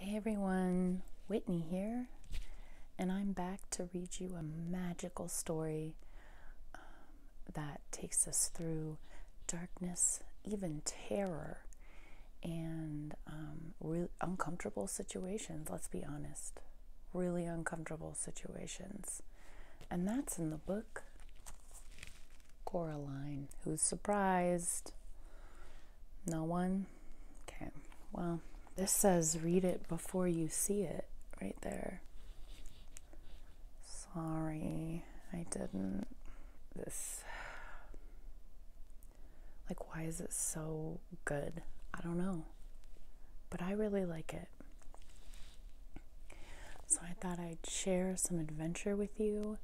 Hey everyone, Whitney here, and I'm back to read you a magical story um, that takes us through darkness, even terror, and um, really uncomfortable situations. Let's be honest, really uncomfortable situations. And that's in the book Coraline. Who's surprised? No one? Okay, well, this says read it before you see it right there. Sorry, I didn't. This. Like, why is it so good? I don't know. But I really like it. So I thought I'd share some adventure with you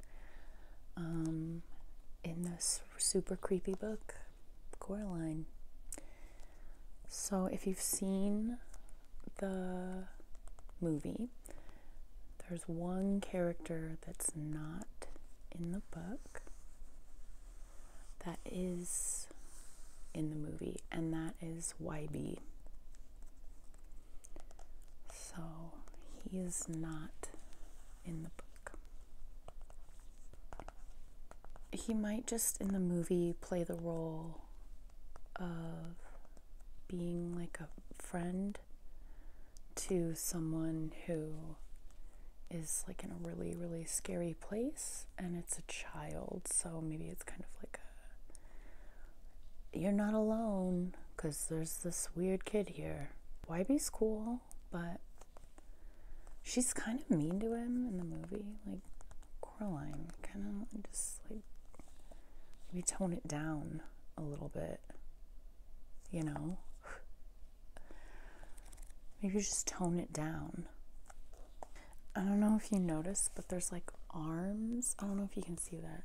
um, in this super creepy book, Coraline. So, if you've seen the movie, there's one character that's not in the book that is in the movie, and that is YB. So, he is not in the book. He might just in the movie play the role of being like a friend to someone who is like in a really, really scary place and it's a child. So maybe it's kind of like a you're not alone because there's this weird kid here. Why be school? but she's kind of mean to him in the movie. Like, Coraline kind of just like maybe tone it down a little bit, you know? Maybe just tone it down. I don't know if you noticed, but there's like arms. I don't know if you can see that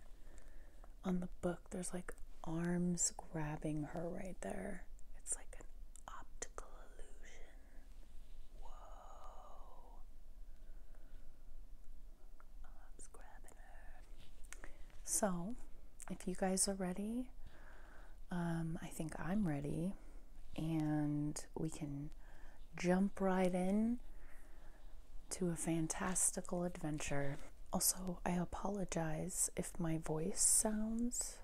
on the book there's like arms grabbing her right there. It's like an optical illusion. So, if you guys are ready, um, I think I'm ready, and we can jump right in to a fantastical adventure. Also, I apologize if if my voice sounds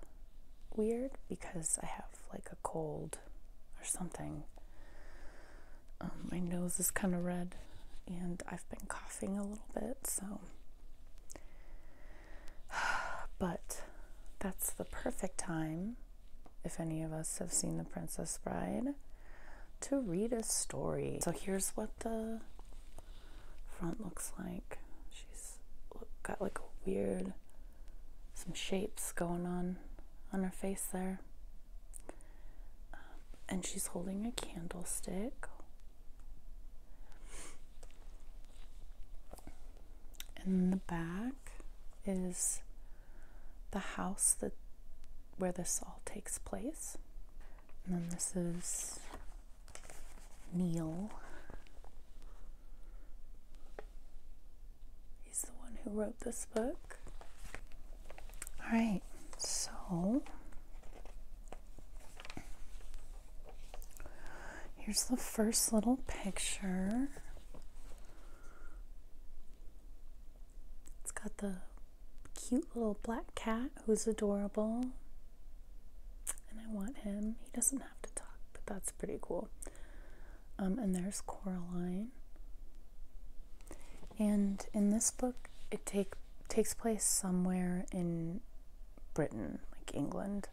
weird because I have like a cold or something. Um, my nose is kind of red and I've been coughing a little bit, so. But that's the perfect time, if any of us have seen The Princess Bride, to read a story. So here's what the front looks like. She's got like a weird, some shapes going on on her face there. Um, and she's holding a candlestick. In the back is the house that where this all takes place. And then this is Neil He's the one who wrote this book. All right, so here's the first little picture. It's got the cute little black cat who's adorable and I want him. He doesn't have to talk, but that's pretty cool. Um, and there's Coraline. And in this book, it take takes place somewhere in Britain, like England.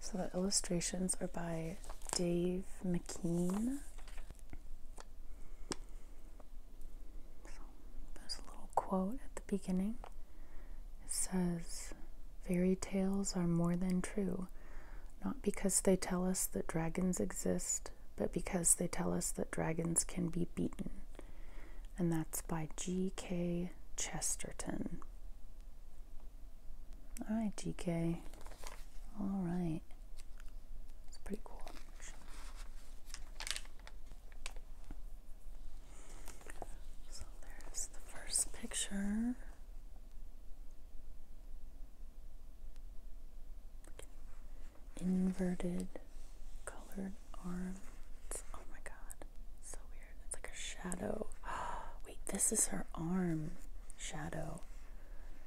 So the illustrations are by Dave McKean there's a little quote at the beginning. It says, Fairy tales are more than true, not because they tell us that dragons exist, but because they tell us that dragons can be beaten. And that's by G.K. Chesterton. All right, GK. All right. It's pretty cool. So there's the first picture. Inverted colored arms. oh my god. So weird. It's like a shadow. Wait, this is her arm shadow.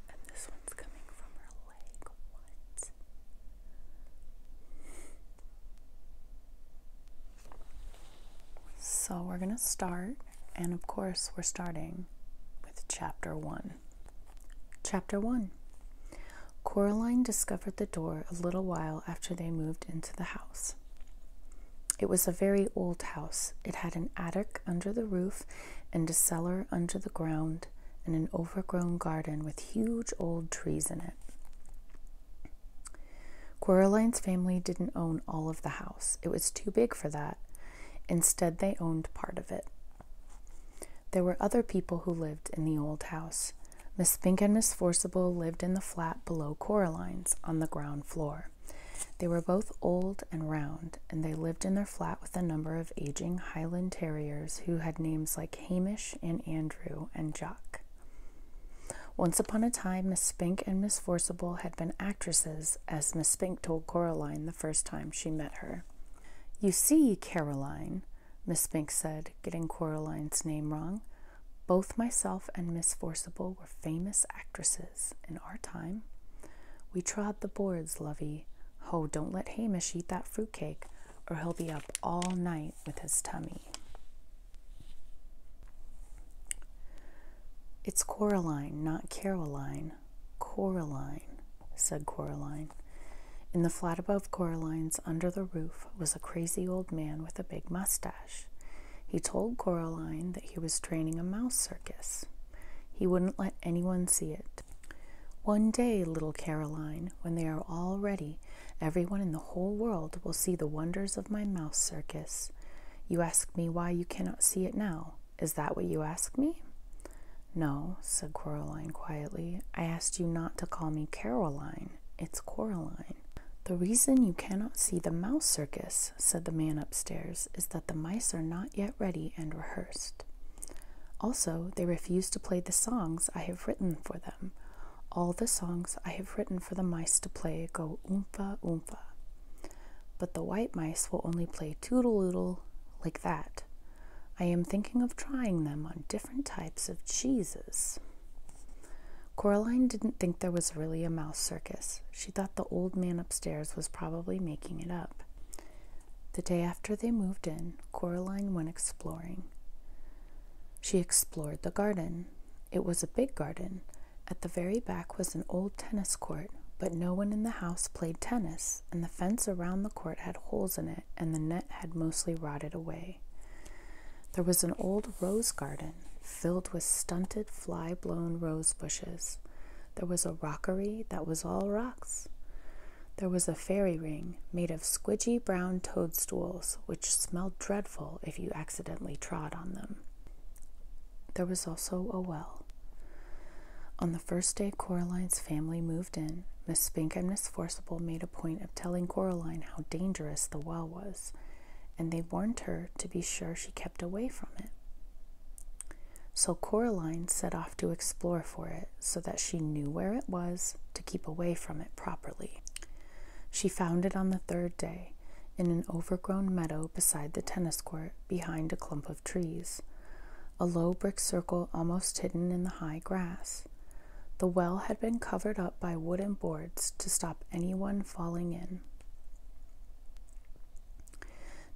And this one's coming from her leg. What? So we're going to start, and of course, we're starting with chapter one. Chapter one Coraline discovered the door a little while after they moved into the house. It was a very old house. It had an attic under the roof and a cellar under the ground and an overgrown garden with huge old trees in it. Coraline's family didn't own all of the house, it was too big for that. Instead, they owned part of it. There were other people who lived in the old house. Miss Fink and Miss Forcible lived in the flat below Coraline's on the ground floor. They were both old and round, and they lived in their flat with a number of aging Highland terriers who had names like Hamish and Andrew and Jock. Once upon a time, Miss Spink and Miss Forcible had been actresses, as Miss Spink told Coraline the first time she met her. You see, Caroline, Miss Spink said, getting Coraline's name wrong, both myself and Miss Forcible were famous actresses in our time. We trod the boards, lovey. Oh, don't let Hamish eat that fruit cake, or he'll be up all night with his tummy. It's Coraline, not Caroline. Coraline, said Coraline. In the flat above Coraline's, under the roof, was a crazy old man with a big mustache. He told Coraline that he was training a mouse circus. He wouldn't let anyone see it. One day, little Caroline, when they are all ready, Everyone in the whole world will see the wonders of my mouse circus. You ask me why you cannot see it now. Is that what you ask me? No, said Coraline quietly. I asked you not to call me Caroline. It's Coraline. The reason you cannot see the mouse circus, said the man upstairs, is that the mice are not yet ready and rehearsed. Also, they refuse to play the songs I have written for them." All the songs I have written for the mice to play go oompa oompa. But the white mice will only play toodaloodle like that. I am thinking of trying them on different types of cheeses. Coraline didn't think there was really a mouse circus. She thought the old man upstairs was probably making it up. The day after they moved in, Coraline went exploring. She explored the garden. It was a big garden. At the very back was an old tennis court, but no one in the house played tennis, and the fence around the court had holes in it, and the net had mostly rotted away. There was an old rose garden filled with stunted, fly blown rose bushes. There was a rockery that was all rocks. There was a fairy ring made of squidgy brown toadstools, which smelled dreadful if you accidentally trod on them. There was also a well. On the first day Coraline's family moved in, Miss Spink and Miss Forcible made a point of telling Coraline how dangerous the well was, and they warned her to be sure she kept away from it. So Coraline set off to explore for it so that she knew where it was to keep away from it properly. She found it on the third day in an overgrown meadow beside the tennis court behind a clump of trees, a low brick circle almost hidden in the high grass. The well had been covered up by wooden boards to stop anyone falling in.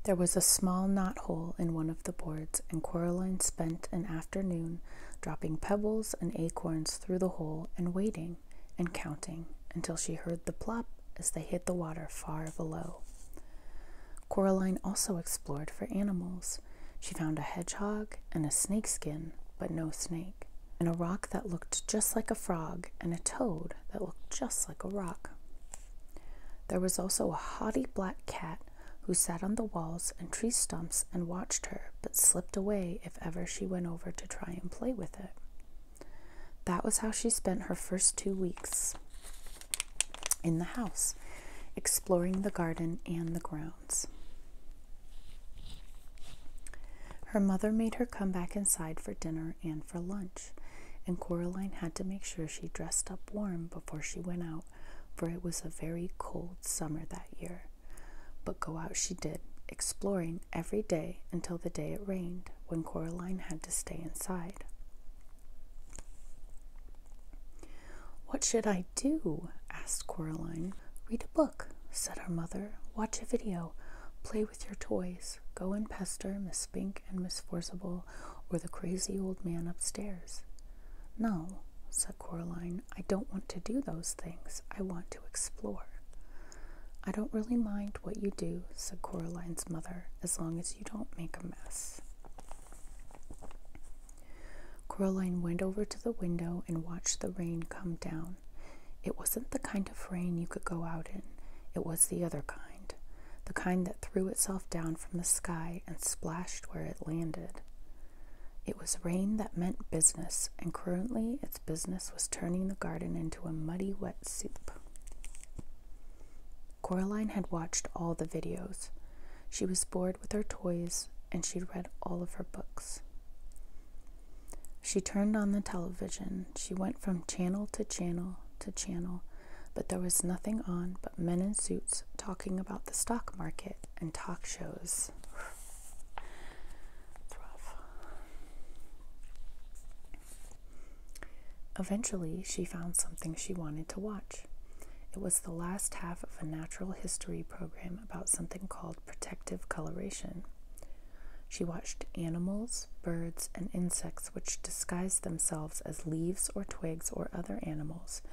There was a small knot hole in one of the boards, and Coraline spent an afternoon dropping pebbles and acorns through the hole and waiting and counting until she heard the plop as they hit the water far below. Coraline also explored for animals. She found a hedgehog and a snakeskin, but no snake, and a rock that looked just like a frog and a toad that looked just like a rock. There was also a haughty black cat who sat on the walls and tree stumps and watched her, but slipped away if ever she went over to try and play with it. That was how she spent her first two weeks in the house, exploring the garden and the grounds. Her mother made her come back inside for dinner and for lunch, and Coraline had to make sure she dressed up warm before she went out, for it was a very cold summer that year. But go out she did, exploring every day until the day it rained, when Coraline had to stay inside. What should I do? asked Coraline. Read a book, said her mother. Watch a video. Play with your toys. Go and pester Miss Spink and Miss Forcible or the crazy old man upstairs. No, said said Coraline. I don't want to do those things. I want to explore. I don't really mind what you do, said Coraline's mother, as long as you don't make a mess. Coraline went over to the window and watched the rain come down. It wasn't the kind of rain you could go out in, it was the other kind, the kind that threw itself down from the sky and splashed where it landed. It was rain that meant business, and currently its business was turning the garden into a muddy, wet soup. Coraline had watched all the videos. She was bored with her toys, and she'd read all of her books. She turned on the television. She went from channel to channel to channel, but there was nothing on but men in suits talking about the stock market and talk shows. Eventually, she found something she wanted to watch. It was the last half of a natural history program about something called protective coloration. She watched animals, birds, and insects which disguised themselves as leaves or twigs or other animals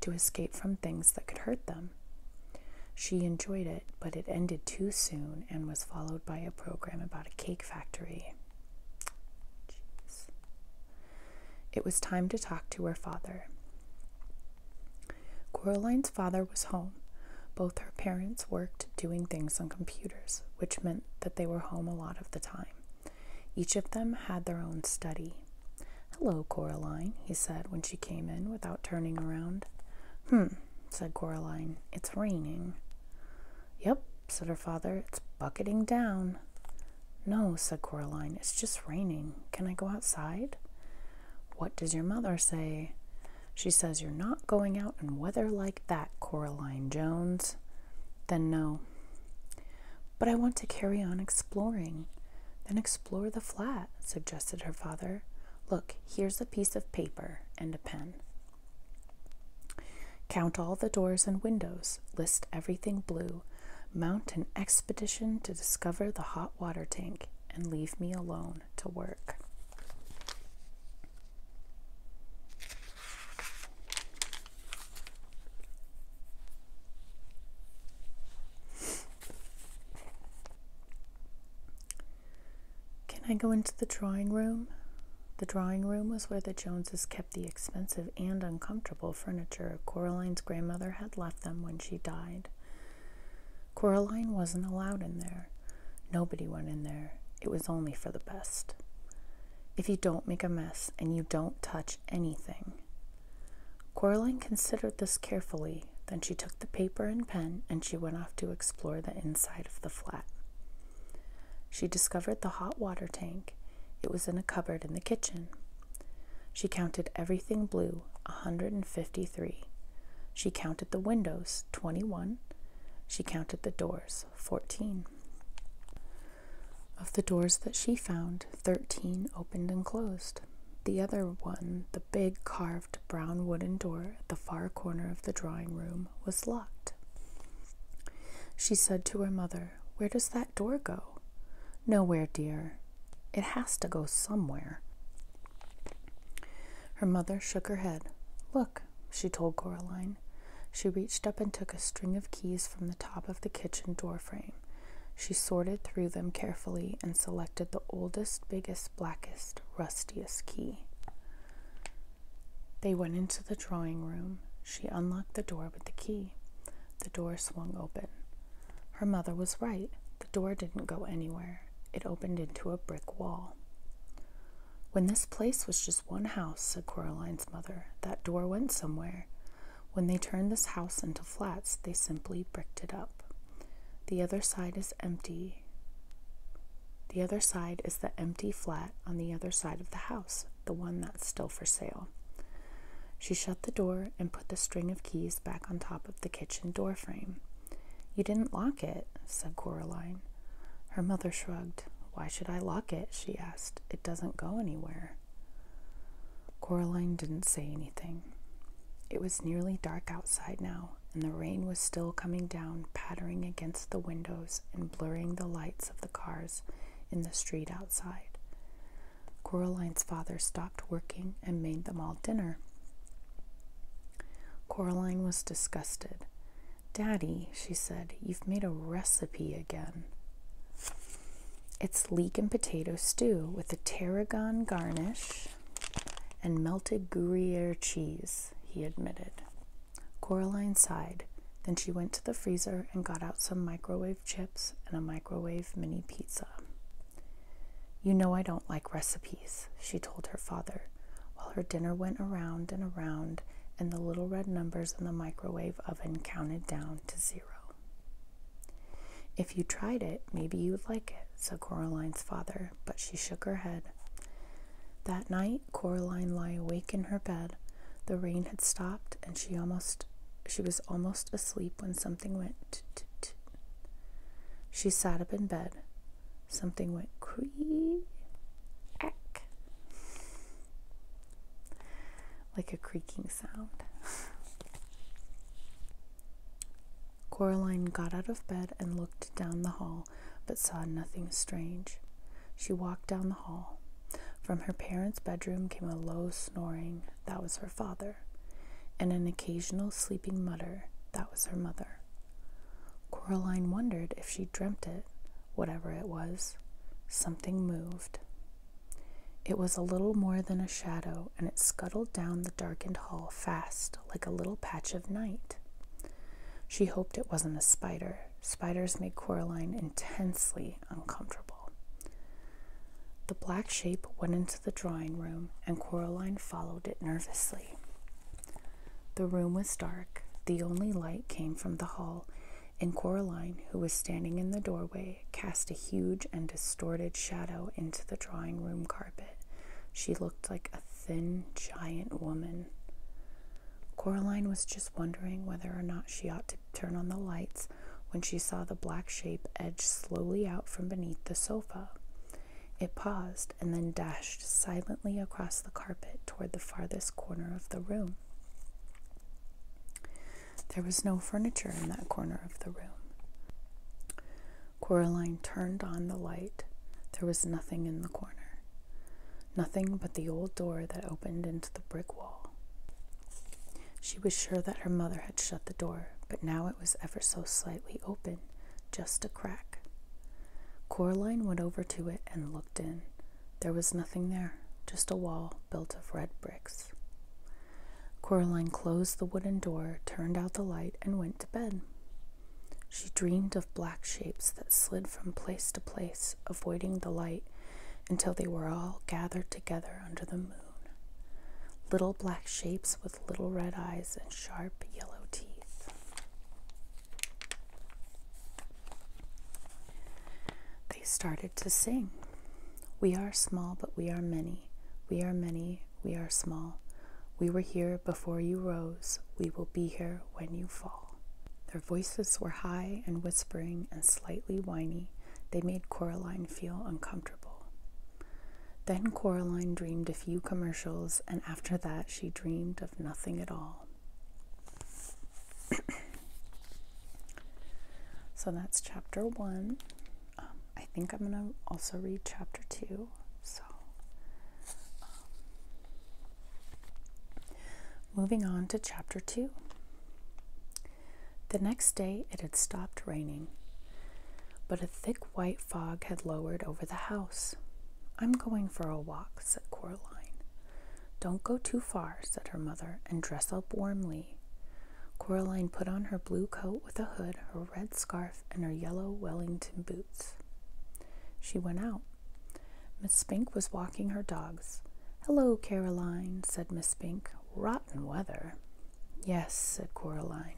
to escape from things that could hurt them. She enjoyed it, but it ended too soon and was followed by a program about a cake factory. It was time to talk to her father. Coraline's father was home. Both her parents worked doing things on computers, which meant that they were home a lot of the time. Each of them had their own study. Hello, Coraline, he said when she came in without turning around. Hmm, said Coraline. It's raining. Yep, said her father. It's bucketing down. No, said Coraline. It's just raining. Can I go outside? What does your mother say? She says you're not going out in weather like that, Coraline Jones. Then no. But I want to carry on exploring. Then explore the flat, suggested her father. Look, here's a piece of paper and a pen. Count all the doors and windows, list everything blue, mount an expedition to discover the hot water tank, and leave me alone to work. Can I go into the drawing room? The drawing room was where the Joneses kept the expensive and uncomfortable furniture Coraline's grandmother had left them when she died. Coraline wasn't allowed in there. Nobody went in there. It was only for the best. If you don't make a mess and you don't touch anything. Coraline considered this carefully then she took the paper and pen and she went off to explore the inside of the flat. She discovered the hot water tank. It was in a cupboard in the kitchen. She counted everything blue, a 153. She counted the windows, 21. She counted the doors, 14. Of the doors that she found, 13 opened and closed the other one, the big carved brown wooden door at the far corner of the drawing room, was locked. She said to her mother, Where does that door go? Nowhere, dear. It has to go somewhere. Her mother shook her head. Look, she told Coraline. She reached up and took a string of keys from the top of the kitchen door frame. She sorted through them carefully and selected the oldest, biggest, blackest rustiest key. They went into the drawing room. She unlocked the door with the key. The door swung open. Her mother was right. The door didn't go anywhere. It opened into a brick wall. When this place was just one house, said Coraline's mother, that door went somewhere. When they turned this house into flats, they simply bricked it up. The other side is empty. The other side is the empty flat on the other side of the house, the one that's still for sale. She shut the door and put the string of keys back on top of the kitchen door frame. You didn't lock it, said Coraline. Her mother shrugged. Why should I lock it? she asked. It doesn't go anywhere. Coraline didn't say anything. It was nearly dark outside now, and the rain was still coming down, pattering against the windows and blurring the lights of the cars in the street outside. Coraline's father stopped working and made them all dinner. Coraline was disgusted. Daddy, she said, you've made a recipe again. It's leek and potato stew with a tarragon garnish and melted Gruyere cheese, he admitted. Coraline sighed. Then she went to the freezer and got out some microwave chips and a microwave mini pizza. You know I don't like recipes, she told her father, while her dinner went around and around and the little red numbers in the microwave oven counted down to zero. If you tried it, maybe you'd like it said Coraline's father, but she shook her head. That night, Coraline lay awake in her bed. The rain had stopped, and she almost she was almost asleep when something went. T -t -t. She sat up in bed. Something went cree ack like a creaking sound. Coraline got out of bed and looked down the hall, but saw nothing strange. She walked down the hall. From her parents' bedroom came a low snoring, that was her father, and an occasional sleeping mutter, that was her mother. Coraline wondered if she dreamt it, whatever it was. Something moved. It was a little more than a shadow and it scuttled down the darkened hall fast, like a little patch of night. She hoped it wasn't a spider. Spiders made Coraline intensely uncomfortable. The black shape went into the drawing room, and Coraline followed it nervously. The room was dark. The only light came from the hall, and Coraline, who was standing in the doorway, cast a huge and distorted shadow into the drawing room carpet. She looked like a thin, giant woman. Coraline was just wondering whether or not she ought to turn on the lights when she saw the black shape edge slowly out from beneath the sofa. It paused and then dashed silently across the carpet toward the farthest corner of the room. There was no furniture in that corner of the room. Coraline turned on the light. There was nothing in the corner, nothing but the old door that opened into the brick wall. She was sure that her mother had shut the door, but now it was ever so slightly open, just a crack. Coraline went over to it and looked in. There was nothing there, just a wall built of red bricks. Coraline closed the wooden door, turned out the light, and went to bed. She dreamed of black shapes that slid from place to place, avoiding the light until they were all gathered together under the moon. Little black shapes with little red eyes and sharp yellow teeth. They started to sing. We are small, but we are many. We are many, we are small. We were here before you rose, we will be here when you fall. Their voices were high and whispering and slightly whiny. They made Coraline feel uncomfortable. Then Coraline dreamed a few commercials, and after that, she dreamed of nothing at all. so that's chapter one. Um, I think I'm going to also read chapter two. So, um, moving on to chapter two. The next day it had stopped raining, but a thick white fog had lowered over the house. I'm going for a walk, said Coraline. Don't go too far, said her mother, and dress up warmly. Coraline put on her blue coat with a hood, red scarf and her yellow Wellington boots. She went out. Miss Spink was walking her dogs. Hello, Caroline, said Miss Spink. Rotten weather. Yes, said Coraline.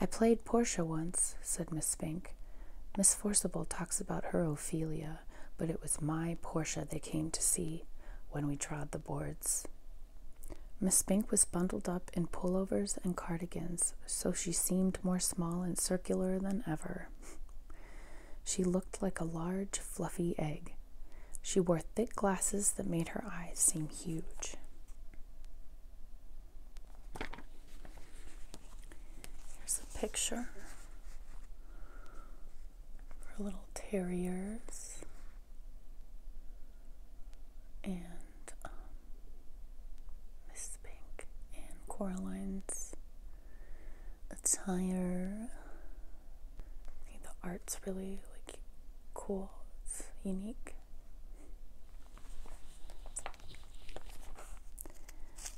I played Portia once, said Miss Spink. Miss Forcible talks about her Ophelia, but it was my Portia they came to see when we trod the boards. Miss Spink was bundled up in pullovers and cardigans, so she seemed more small and circular than ever. she looked like a large, fluffy egg. She wore thick glasses that made her eyes seem huge. Here's a picture for little terriers and um, Miss Pink and Coraline's attire. the art's really like cool. unique.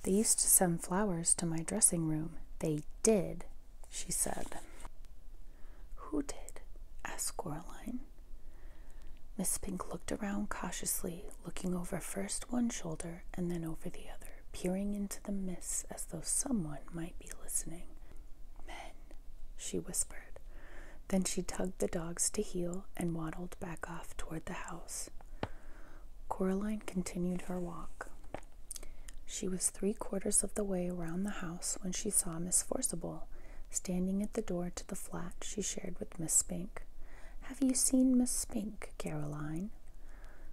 They used to send flowers to my dressing room. They did, she said. Who did? asked Coraline. Miss Pink looked around cautiously, looking over first one shoulder and then over the other, peering into the mist as though someone might be listening. Men, she whispered. Then she tugged the dogs to heel and waddled back off toward the house. Coraline continued her walk. She was three quarters of the way around the house when she saw Miss Forcible Standing at the door to the flat, she shared with Miss Spink. Have you seen Miss Spink, Caroline?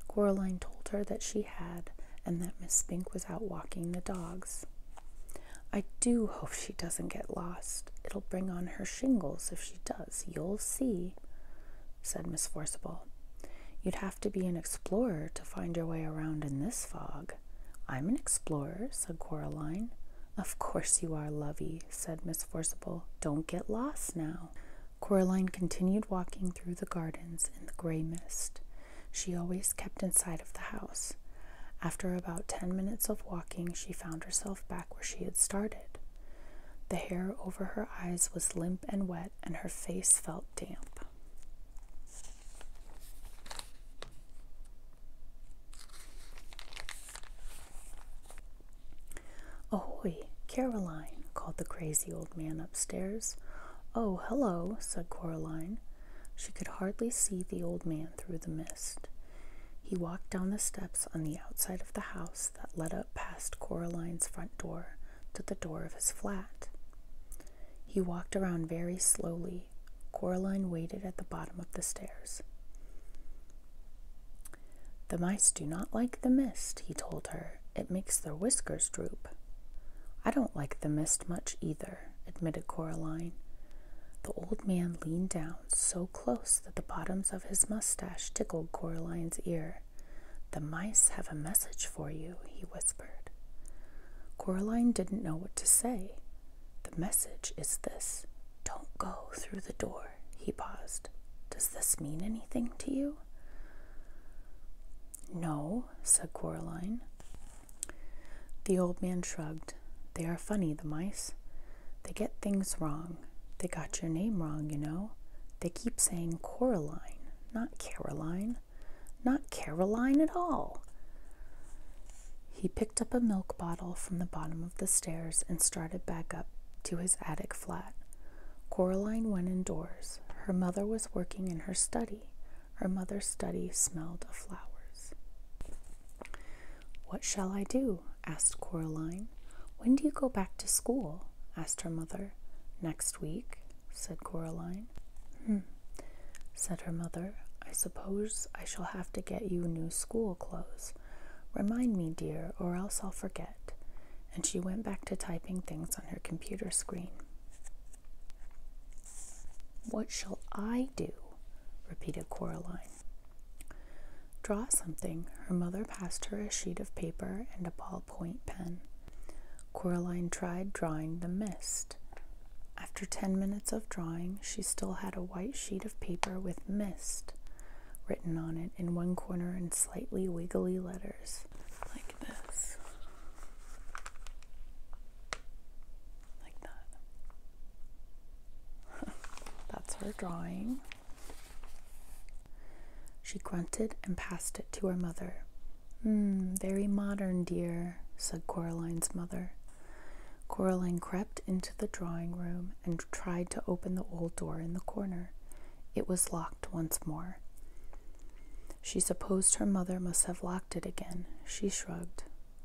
Coraline told her that she had, and that Miss Spink was out walking the dogs. I do hope she doesn't get lost. It'll bring on her shingles if she does. You'll see, said Miss Forcible. You'd have to be an explorer to find your way around in this fog. I'm an explorer, said Coraline. Of course you are, lovey, said Miss Forcible. Don't get lost now. Coraline continued walking through the gardens in the gray mist. She always kept inside of the house. After about ten minutes of walking, she found herself back where she had started. The hair over her eyes was limp and wet, and her face felt damp. Ahoy, Caroline, called the crazy old man upstairs. Oh, hello, said Caroline. She could hardly see the old man through the mist. He walked down the steps on the outside of the house that led up past Caroline's front door to the door of his flat. He walked around very slowly empty, Coraline waited at the bottom of the stairs. The mice do not like the mist, he told her. It makes their whiskers droop. I don't like the mist much either, admitted Coraline. The old man leaned down so close that the bottoms of his mustache tickled Coraline's ear. The mice have a message for you, he whispered. Coraline didn't know what to say. The message is this Don't go through the door. He paused. Does this mean anything to you? No, said Coraline. The old man shrugged. They are funny, the mice. They get things wrong. They got your name wrong, you know. They keep saying Coraline, not Caroline, not Caroline at all. He picked up a milk bottle from the bottom of the stairs and started back up to his attic flat. Coraline went indoors. Her mother was working in her study. Her mother's study smelled of flowers. What shall I do? asked Coraline. When do you go back to school? asked her mother. Next week, said Coraline. Hmm, said her mother. I suppose I shall have to get you new school clothes. Remind me, dear, or else I'll forget. And she went back to typing things on her computer screen. What shall I do? repeated Coraline. Draw something, her mother passed her a sheet of paper and a ballpoint pen. Coraline tried drawing the mist. After ten minutes of drawing, she still had a white sheet of paper with mist written on it in one corner in slightly wiggly letters, like this. Like that. That's her drawing. She grunted and passed it to her mother. Hmm, very modern, dear, said Coraline's mother. Coraline crept into the drawing room and tried to open the old door in the corner. It was locked once more. She supposed her mother must have locked it again. She shrugged.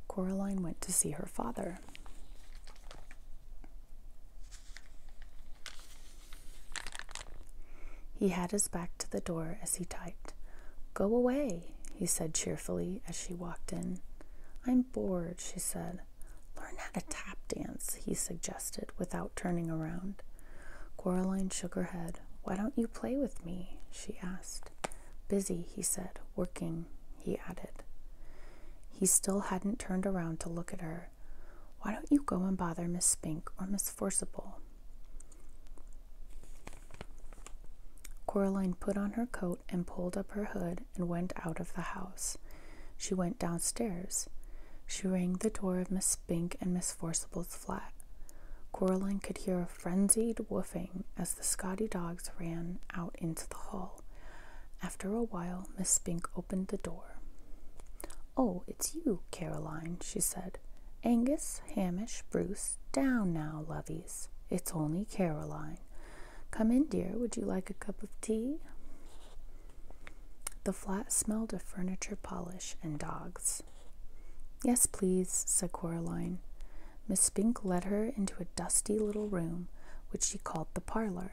Coraline went to see her father. He had his back to the door as he typed. Go away, he said cheerfully as she walked in. I'm bored, she said. Learn how to tap dance, he suggested without turning around. Coraline shook her head. Why don't you play with me? she asked. Busy, he said. Working, he added. He still hadn't turned around to look at her. Why don't you go and bother Miss Spink or Miss Forcible? Coraline put on her coat and pulled up her hood and went out of the house. She went downstairs. She rang the door of Miss Spink and Miss Forcible's flat. Coraline could hear a frenzied whooping as the Scotty dogs ran out into the hall. After a while, Miss Spink opened the door. Oh, it's you, Caroline, she said. Angus, Hamish, Bruce, down now, lovies. It's only Caroline. Come in, dear. Would you like a cup of tea? The flat smelled of furniture polish and dogs. Yes, please, said Coraline. Miss Spink led her into a dusty little room which she called the parlor.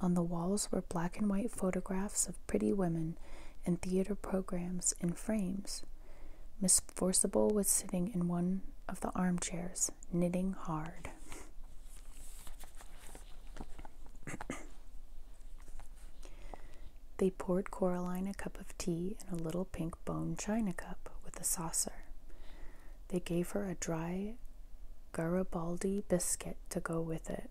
On the walls were black and white photographs of pretty women and theater programs in frames. Miss Forcible was sitting in one of the armchairs, knitting hard. they poured Caroline a cup of tea in a little pink bone china cup with a saucer. They gave her a dry Garibaldi biscuit to go with it.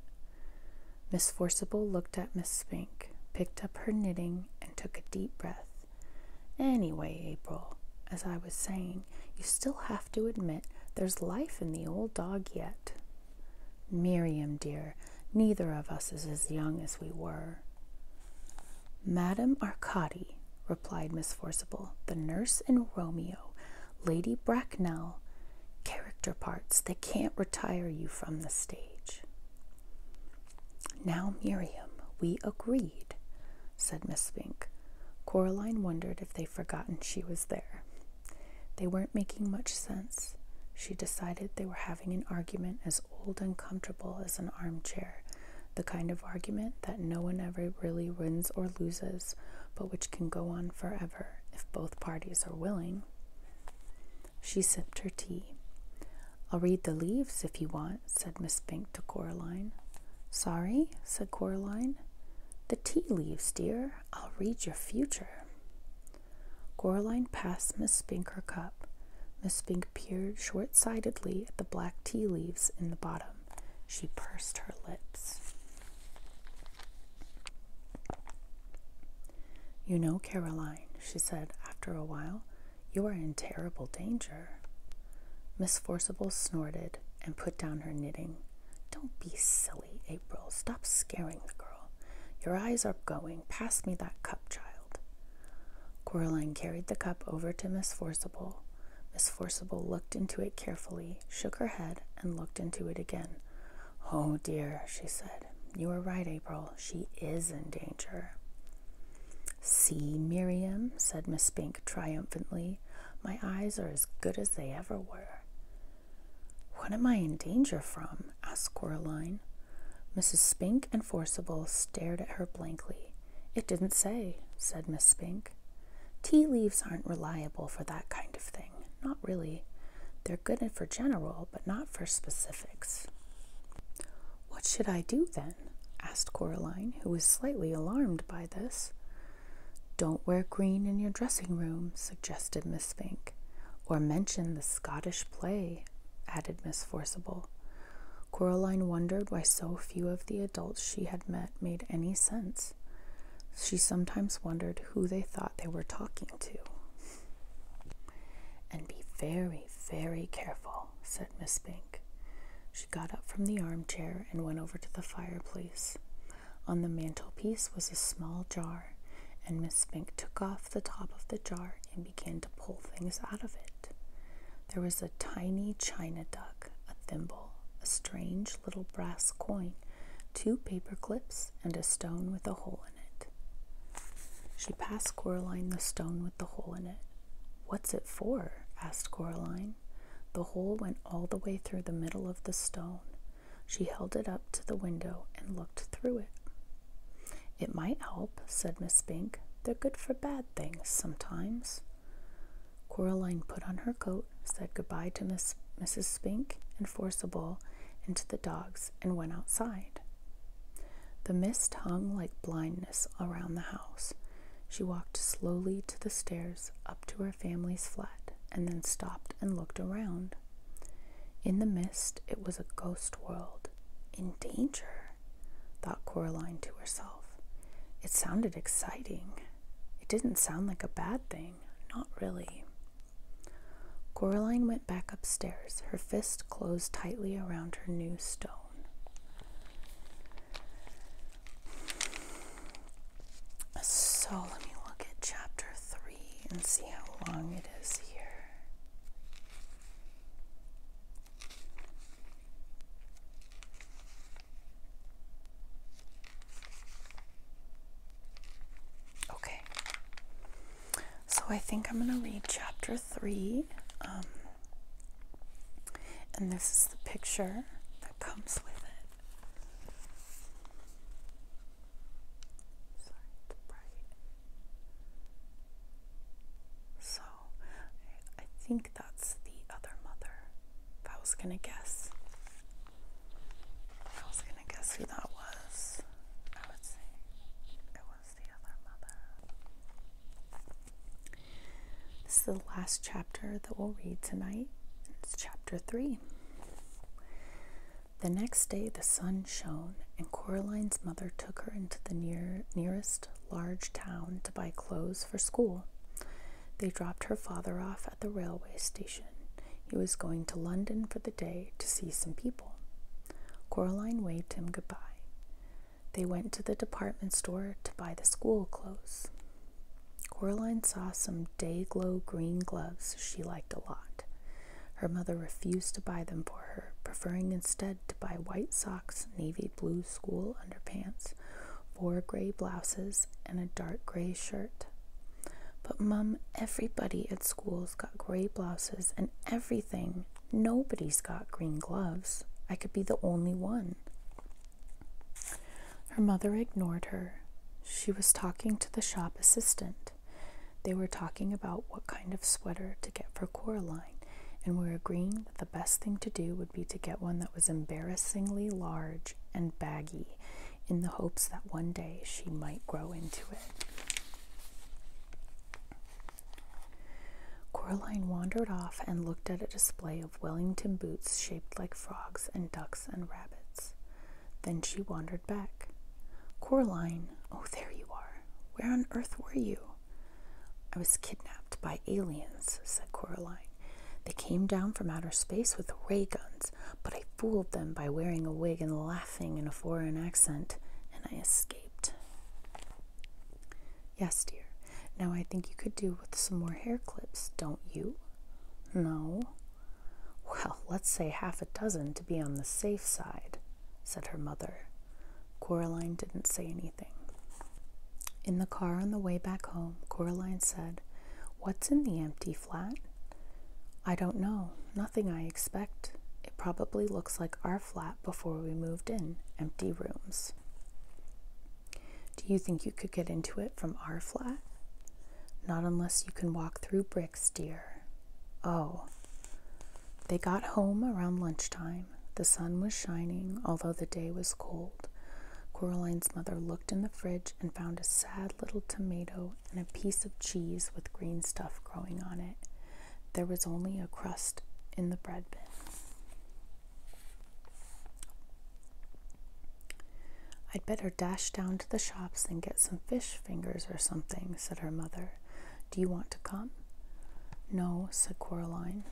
Miss Forcible looked at Miss Spink, picked up her knitting, and took a deep breath. Anyway, April, as I was saying, you still have to admit there's life in the old dog yet. Miriam, dear, neither of us is as young as we were. Madame Arcadi, replied Miss Forcible, the nurse in Romeo, Lady Bracknell, character parts that can't retire you from the stage. Now, Miriam, we agreed said Miss Spink. Coraline wondered if they'd forgotten she was there. They weren't making much sense. She decided they were having an argument as old and comfortable as an armchair, the kind of argument that no one ever really wins or loses, but which can go on forever if both parties are willing. She sipped her tea. I'll read the leaves if you want, said Miss Spink to Coraline. Sorry, said Coraline. The tea leaves, dear. I'll read your future. Coraline passed Miss Spink her cup. Miss Spink peered short sightedly at the black tea leaves in the bottom. She pursed her lips. You know, Caroline, she said after a while, you are in terrible danger. Miss Forcible snorted and put down her knitting. Don't be silly, April. Stop scaring the girl. Your eyes are going. Pass me that cup, child. Coraline carried the cup over to Miss Forcible. Miss Forcible looked into it carefully, shook her head, and looked into it again. Oh dear, she said. You are right, April. She is in danger. See, Miriam, said Miss Spink triumphantly, my eyes are as good as they ever were. What am I in danger from? asked Coraline. Mrs. Spink and Forcible stared at her blankly. It didn't say, said Miss Spink. Tea leaves aren't reliable for that kind of thing. Not really. They're good for general, but not for specifics. What should I do then? asked Coraline, who was slightly alarmed by this. Don't wear green in your dressing room, suggested Miss Fink. Or mention the Scottish play, added Miss Forcible. Coraline wondered why so few of the adults she had met made any sense. She sometimes wondered who they thought they were talking to. And be very, very careful, said Miss Fink got up from the armchair and went over to the fireplace. On the mantelpiece was a small jar, and Miss Spink took off the top of the jar and began to pull things out of it. There was a tiny china duck, a thimble, a strange little brass coin, two paper clips, and a stone with a hole in it. She passed Coraline the stone with the hole in it. What's it for? asked Coraline. The hole went all the way through the middle of the stone. She held it up to the window and looked through it. It might help, said Miss Spink. They're good for bad things sometimes. Coraline put on her coat, said goodbye to Miss, Mrs. Spink and Forcible and to the dogs, and went outside. The mist hung like blindness around the house. She walked slowly to the stairs up to her family's flat and then stopped and looked around. In the mist, it was a ghost world. In danger, thought Coraline to herself. It sounded exciting. It didn't sound like a bad thing, not really. Coraline went back upstairs, her fist closed tightly around her new stone. So let me look at chapter 3 and see how long it is here. Okay. So I think I'm going to read chapter 3. Um, and this is the picture comes with it. Sorry, it's bright. So, I think that's the other mother. If I was gonna guess, if I was gonna guess who that was, I would say it was the other mother. This is the last chapter that we'll read tonight. It's chapter 3. The next day the sun shone, and Coraline's mother took her into the near, nearest large town to buy clothes for school. They dropped her father off at the railway station. He was going to London for the day to see some people. Coraline waved him goodbye. They went to the department store to buy the school clothes. Coraline saw some day glow green gloves she liked a lot. Her mother refused to buy them for her, preferring instead to buy white socks, navy blue school underpants, four gray blouses, and a dark gray shirt. But, Mum, everybody at school's got gray blouses and everything. Nobody's got green gloves. I could be the only one. Her mother ignored her. She was talking to the shop assistant. They were talking about what kind of sweater to get for Coraline, and were agreeing that the best thing to do would be to get one that was embarrassingly large and baggy, in the hopes that one day she might grow into it. Coraline wandered off and looked at a display Wellington boots shaped like frogs and ducks and rabbits. Then she wandered back. Coraline, oh, there you are. Where on earth were you? I was kidnapped by aliens, said Coraline. They came down from outer space with ray guns, but I fooled them by wearing a wig and laughing in a foreign accent, and I escaped. Yes, dear. Now I think you could do with some more hair clips, don't you? No. Well, let's say half a dozen to be on the safe side, said her mother. Coraline didn't say anything. In the car on the way back home, Coraline said, What's in the empty flat? I don't know. Nothing I expect. It probably looks like our flat before we moved in empty rooms. Do you think you could get into it from our flat? Not unless you can walk through bricks, dear. Oh. They got home around lunchtime. The sun was shining, although the day was cold. Coraline's mother looked in the fridge and found a sad little tomato and a piece of cheese with green stuff growing on it. There was only a crust in the bread bin. I'd better dash down to the shops and get some fish fingers or something, said her mother. Do you want to come? No, said Coraline.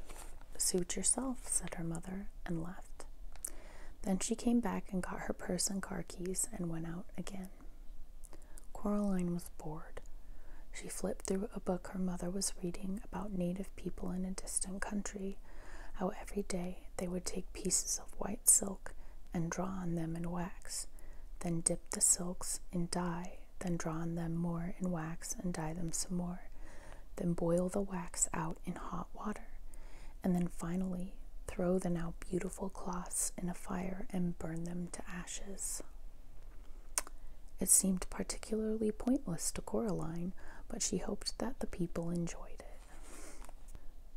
Suit yourself, said her mother, and left. Then she came back and got her purse and car keys and went out again. Coraline was bored. She flipped through a book her mother was reading about native people in a distant country, how every day they would take pieces of white silk and draw on them in wax, then dip the silks in dye, then draw on them more in wax and dye them some more, then boil the wax out in hot water, and then finally throw the now beautiful cloths in a fire and burn them to ashes. It seemed particularly pointless to Coraline, but she hoped that the people enjoyed it.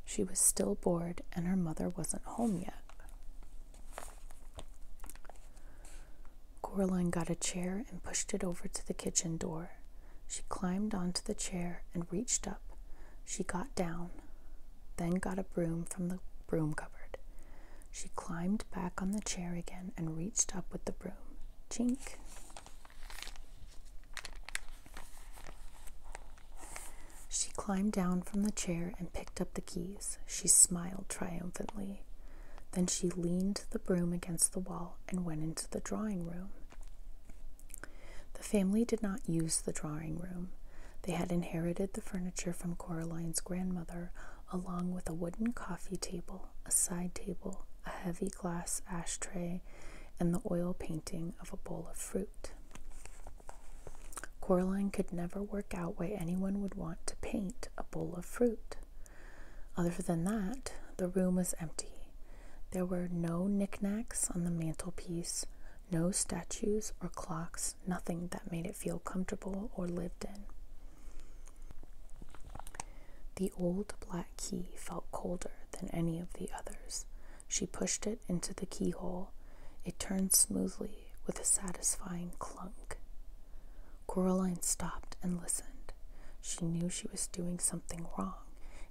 She was still bored, and her mother wasn't home yet. Coraline got a chair and pushed it over to the kitchen door. She climbed onto the chair and reached up. She got down, then got a broom from the broom cupboard. She climbed back on the chair again and reached up with the broom. Chink! She climbed down from the chair and picked up the keys. She smiled triumphantly. Then she leaned the broom against the wall and went into the drawing room. The family did not use the drawing room. They had inherited the furniture from Coraline's grandmother, along with a wooden coffee table, a side table, a heavy glass ashtray, and the oil painting of a bowl of fruit. Coraline could never work out why anyone would want to paint a bowl of fruit. Other than that, the room was empty. There were no knickknacks on the mantelpiece, no statues or clocks, nothing that made it feel comfortable or lived in. The old black that key felt colder than any of the others. She pushed it into the keyhole. It turned smoothly with a satisfying clunk. Coraline stopped and listened. She knew she was doing something wrong,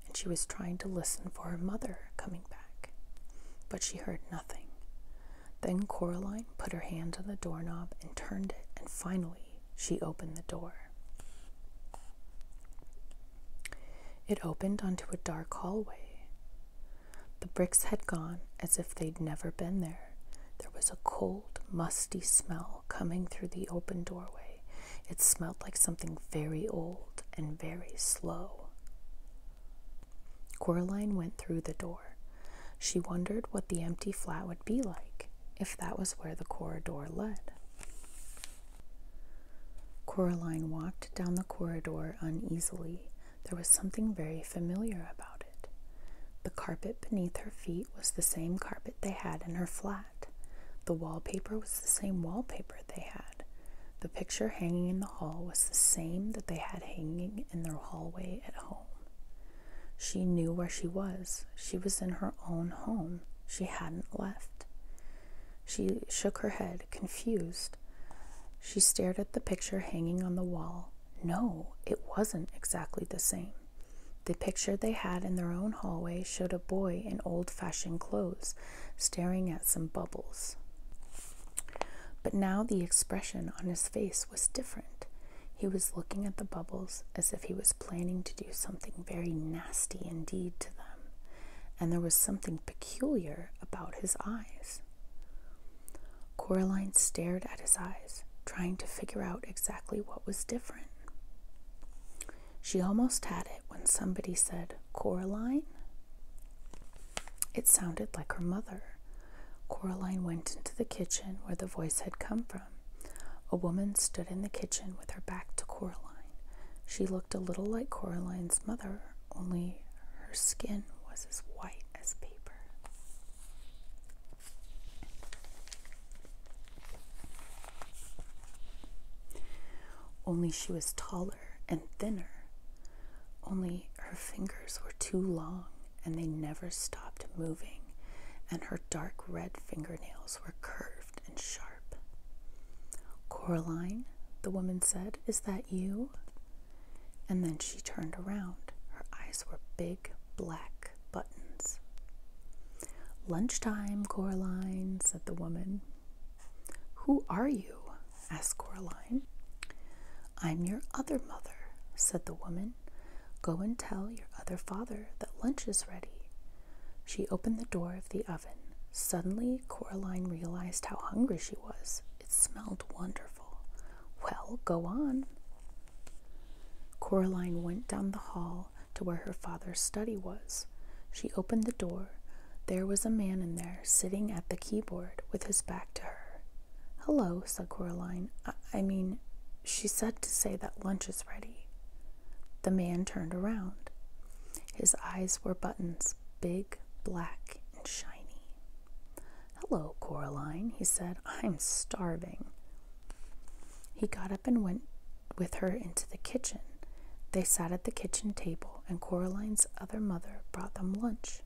and she was trying to listen for her mother coming back. But she heard nothing. Then Coraline put her hand on the doorknob and turned it, and finally she opened the door. It opened onto a dark hallway. The bricks had gone as if they'd never been there. There was a cold, musty smell coming through the open doorway. It smelt like something very old and very slow. Coraline went through the door. She wondered what the empty flat would be like if that was where the corridor led. Coraline walked down the corridor uneasily. There was something very familiar about it. The carpet beneath her feet was the same carpet they had in her flat. The wallpaper was the same wallpaper they had. The picture hanging in the hall was the same that they had hanging in their hallway at home. She knew where she was. She was in her own home. She hadn't left. She shook her head, confused. She stared at the picture hanging on the wall. No, it wasn't exactly the same. The picture they had in their own hallway showed a boy in old fashioned clothes staring at some bubbles. But now the expression on his face was different. He was looking at the bubbles as if he was planning to do something very nasty indeed to them, and there was something peculiar about his eyes. Coraline stared at his eyes, trying to figure out exactly what was different. She almost had it when somebody said, Coraline? It sounded like her mother. Coraline went into the kitchen where the voice had come from. A woman stood in the kitchen with her back to Coraline. She looked a little like Coraline's mother, only her skin was as white as paper. Only she was taller and thinner. Only her fingers were too long and they never stopped moving, and her dark red fingernails were curved and sharp. Coraline, the woman said, is that you? And then she turned around. Her eyes were big black buttons. Lunchtime, Coraline, said the woman. Who are you? asked Coraline. I'm your other mother, said the woman. Go and tell your other father that lunch is ready. She opened the door of the oven. Suddenly, Coraline realized how hungry she was. It smelled wonderful. Well, go on. Coraline went down the hall to where her father's study was. She opened the door. There was a man in there sitting at the keyboard with his back to her. Hello, said Coraline. I, mean, she said to say that lunch is ready. The man turned around. His eyes were buttons, big, black, and shiny. Hello, Coraline, he said. I'm starving. He got up and went with her into the kitchen. They sat at the kitchen table, and Coraline's other mother brought them lunch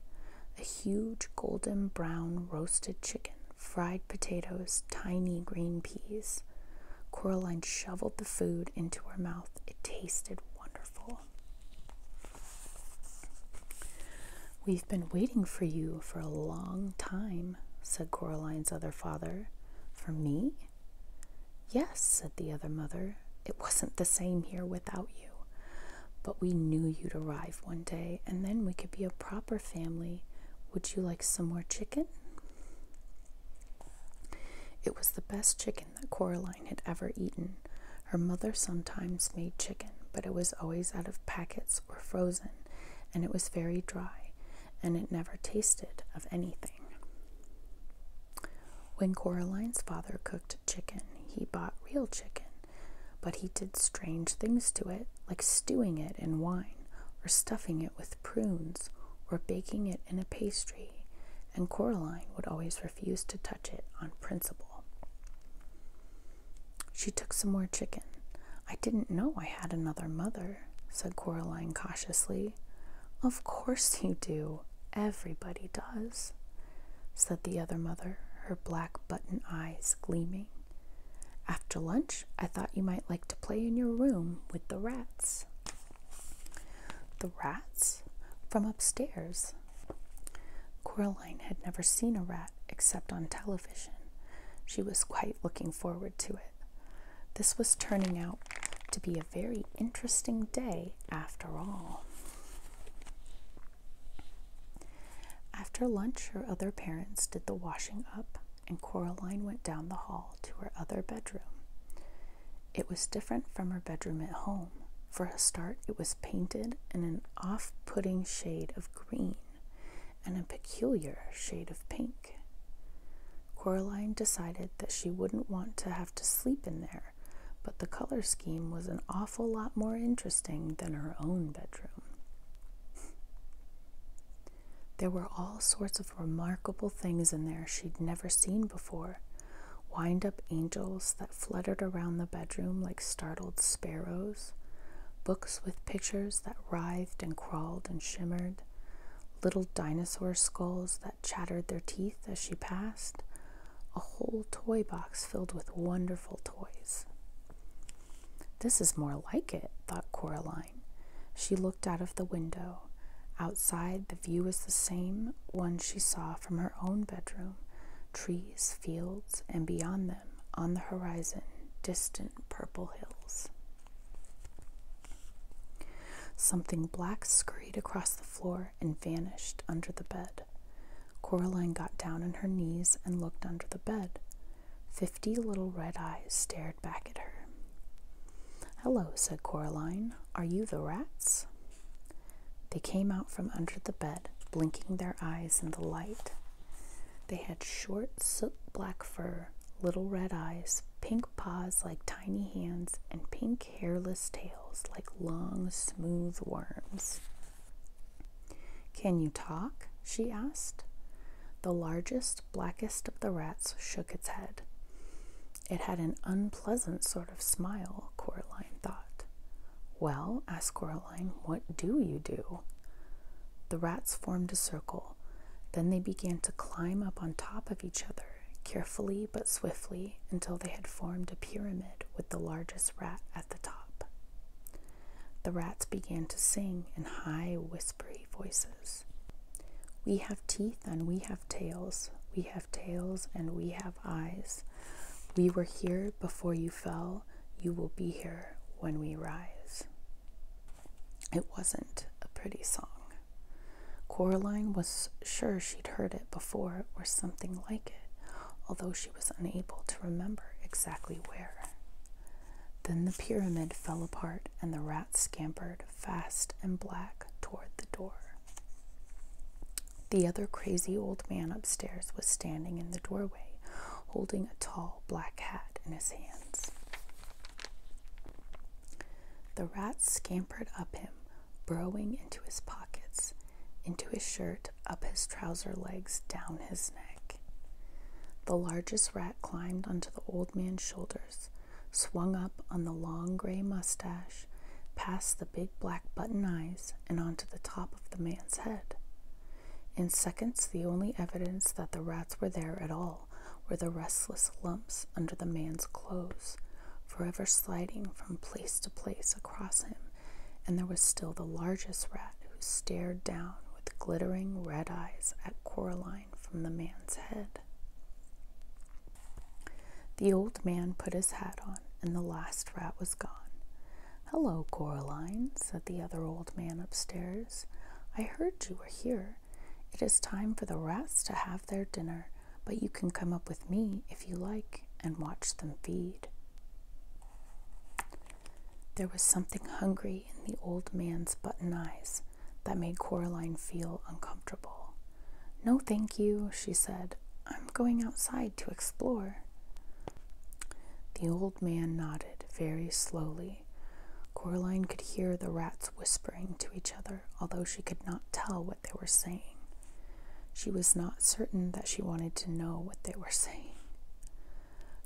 a huge golden brown roasted chicken, fried potatoes, tiny green peas. Coraline shoveled the food into her mouth. It tasted wonderful. We've been waiting for you for a long time, said Coraline's other father. For me? Yes, said the other mother. It wasn't the same here without you. But we knew you'd arrive one day, and then we could be a proper family. Would you like some more chicken? It was the best chicken that Coraline had ever eaten. Her mother sometimes made chicken, but it was always out of packets or frozen, and it was very dry, and it never tasted of anything. When Coraline's father cooked chicken, he bought real chicken, but he did strange things to it, like stewing it in wine or stuffing it with prunes or baking it in a pastry, and Coraline would always refuse to touch it on principle. She took some more chicken. I didn't know I had another mother, said Coraline cautiously. Of course you do. Everybody does, said the other mother, her black button eyes gleaming. After lunch, I thought you might like to play in your room with the rats. The rats from upstairs. Coraline had never seen a rat except on television. She was quite looking forward to it. This was turning out to be a very interesting day after all. After lunch, her other parents did the washing up and Coraline went down the hall to her other bedroom. It was different from her bedroom at home. For a start, it was painted in an off putting shade of green and a peculiar shade of pink. Coraline decided that she wouldn't want to have to sleep in there, but the color scheme was an awful lot more interesting than her own bedroom. There were all sorts of remarkable things in there she'd never seen before wind up angels that fluttered around the bedroom like startled sparrows, books with pictures that writhed and crawled and shimmered, little dinosaur skulls that chattered their teeth as she passed, a whole toy box filled with wonderful toys. This is more like it, thought Coraline she looked out of the window. Outside, the view was the same one she saw from her own bedroom trees, fields, and beyond them, on the horizon, distant purple hills. Something black scurried across the floor and vanished under the bed. Coraline got down on her knees and looked under the bed. Fifty little red eyes stared back at her. Hello, said Coraline. Are you the rats? They came out from under the bed, blinking their eyes in the light. They had short, soot black fur, little red eyes, pink paws like tiny hands, and pink hairless tails like long, smooth worms. Can you talk? she asked. The largest blackest of the rats shook its head. It had an unpleasant sort of smile, Coraline thought. Well, asked Coraline, what do you do? The rats formed a circle. Then they began to climb up on top of each other, carefully but swiftly, until they had formed a pyramid with the largest rat at the top. The rats began to sing in high, whispery voices. We have teeth and we have tails. We have tails and we have eyes. We were here before you fell. You will be here when we rise. It wasn't a pretty song. Coraline was sure she'd heard it before or something like it, although she was unable to remember exactly where. Then the pyramid fell apart and the rats scampered fast and black toward the door. The other crazy old man upstairs was standing in the doorway, holding a tall black hat in his hands. The rats scampered up him, burrowing into his pockets, into his shirt, up his trouser legs, down his neck. The largest rat climbed onto the old man's shoulders, swung up on the long gray mustache, past the big black button eyes, and onto the top of the man's head. In seconds, the only evidence that the rats were there at all were the restless lumps under the man's clothes, forever sliding from place to place across him, and there was still the largest rat who stared down with glittering red eyes at Coraline from the man's head. The old man put his hat on, and the last rat was gone. Hello, Coraline, said the other old man upstairs. I heard you were here. It is time for the rats to have their dinner, but you can come up with me if you like and watch them feed. There was something hungry in the old man's button eyes, that made Coraline feel uncomfortable. No, thank you, she said. I'm going outside to explore. The old man nodded very slowly. Coraline could hear the rats whispering to each other, although she could not tell what they were saying. She was not certain that she wanted to know what they were saying.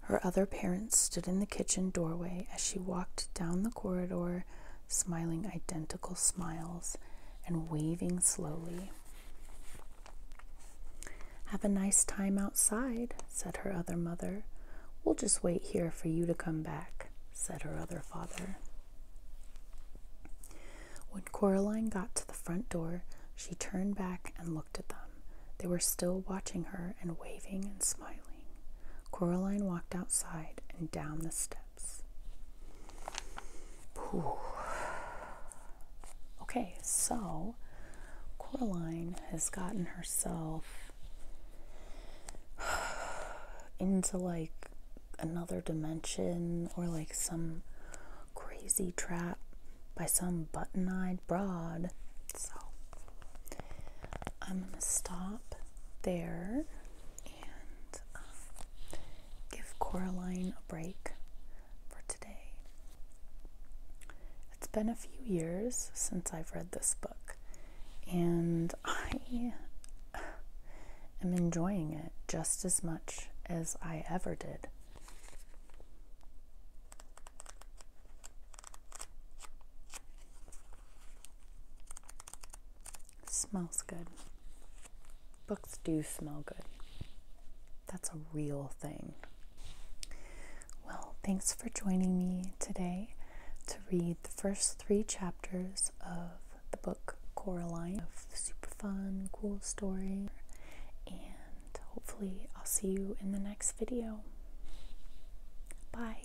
Her other parents stood in the kitchen doorway as she walked down the corridor smiling identical smiles and waving slowly. Have a nice time outside, said her other mother. We'll just wait here for you to come back, said her other father. When Coraline got to the front door, she turned back and looked at them. They were still watching her and waving and smiling. Coraline walked outside and down the steps. Okay, so Coraline has gotten herself into like another dimension or like some crazy trap by some button eyed broad. So I'm going to stop there and um, give Coraline a break for today. It's been a few years since I've read this book, and I am enjoying it just as much as I ever did. Smells good. Books do smell good. That's a real thing. Well, thanks for joining me today to read the first three chapters of the book Coraline. Super fun, cool story. And hopefully, I'll see you in the next video. Bye.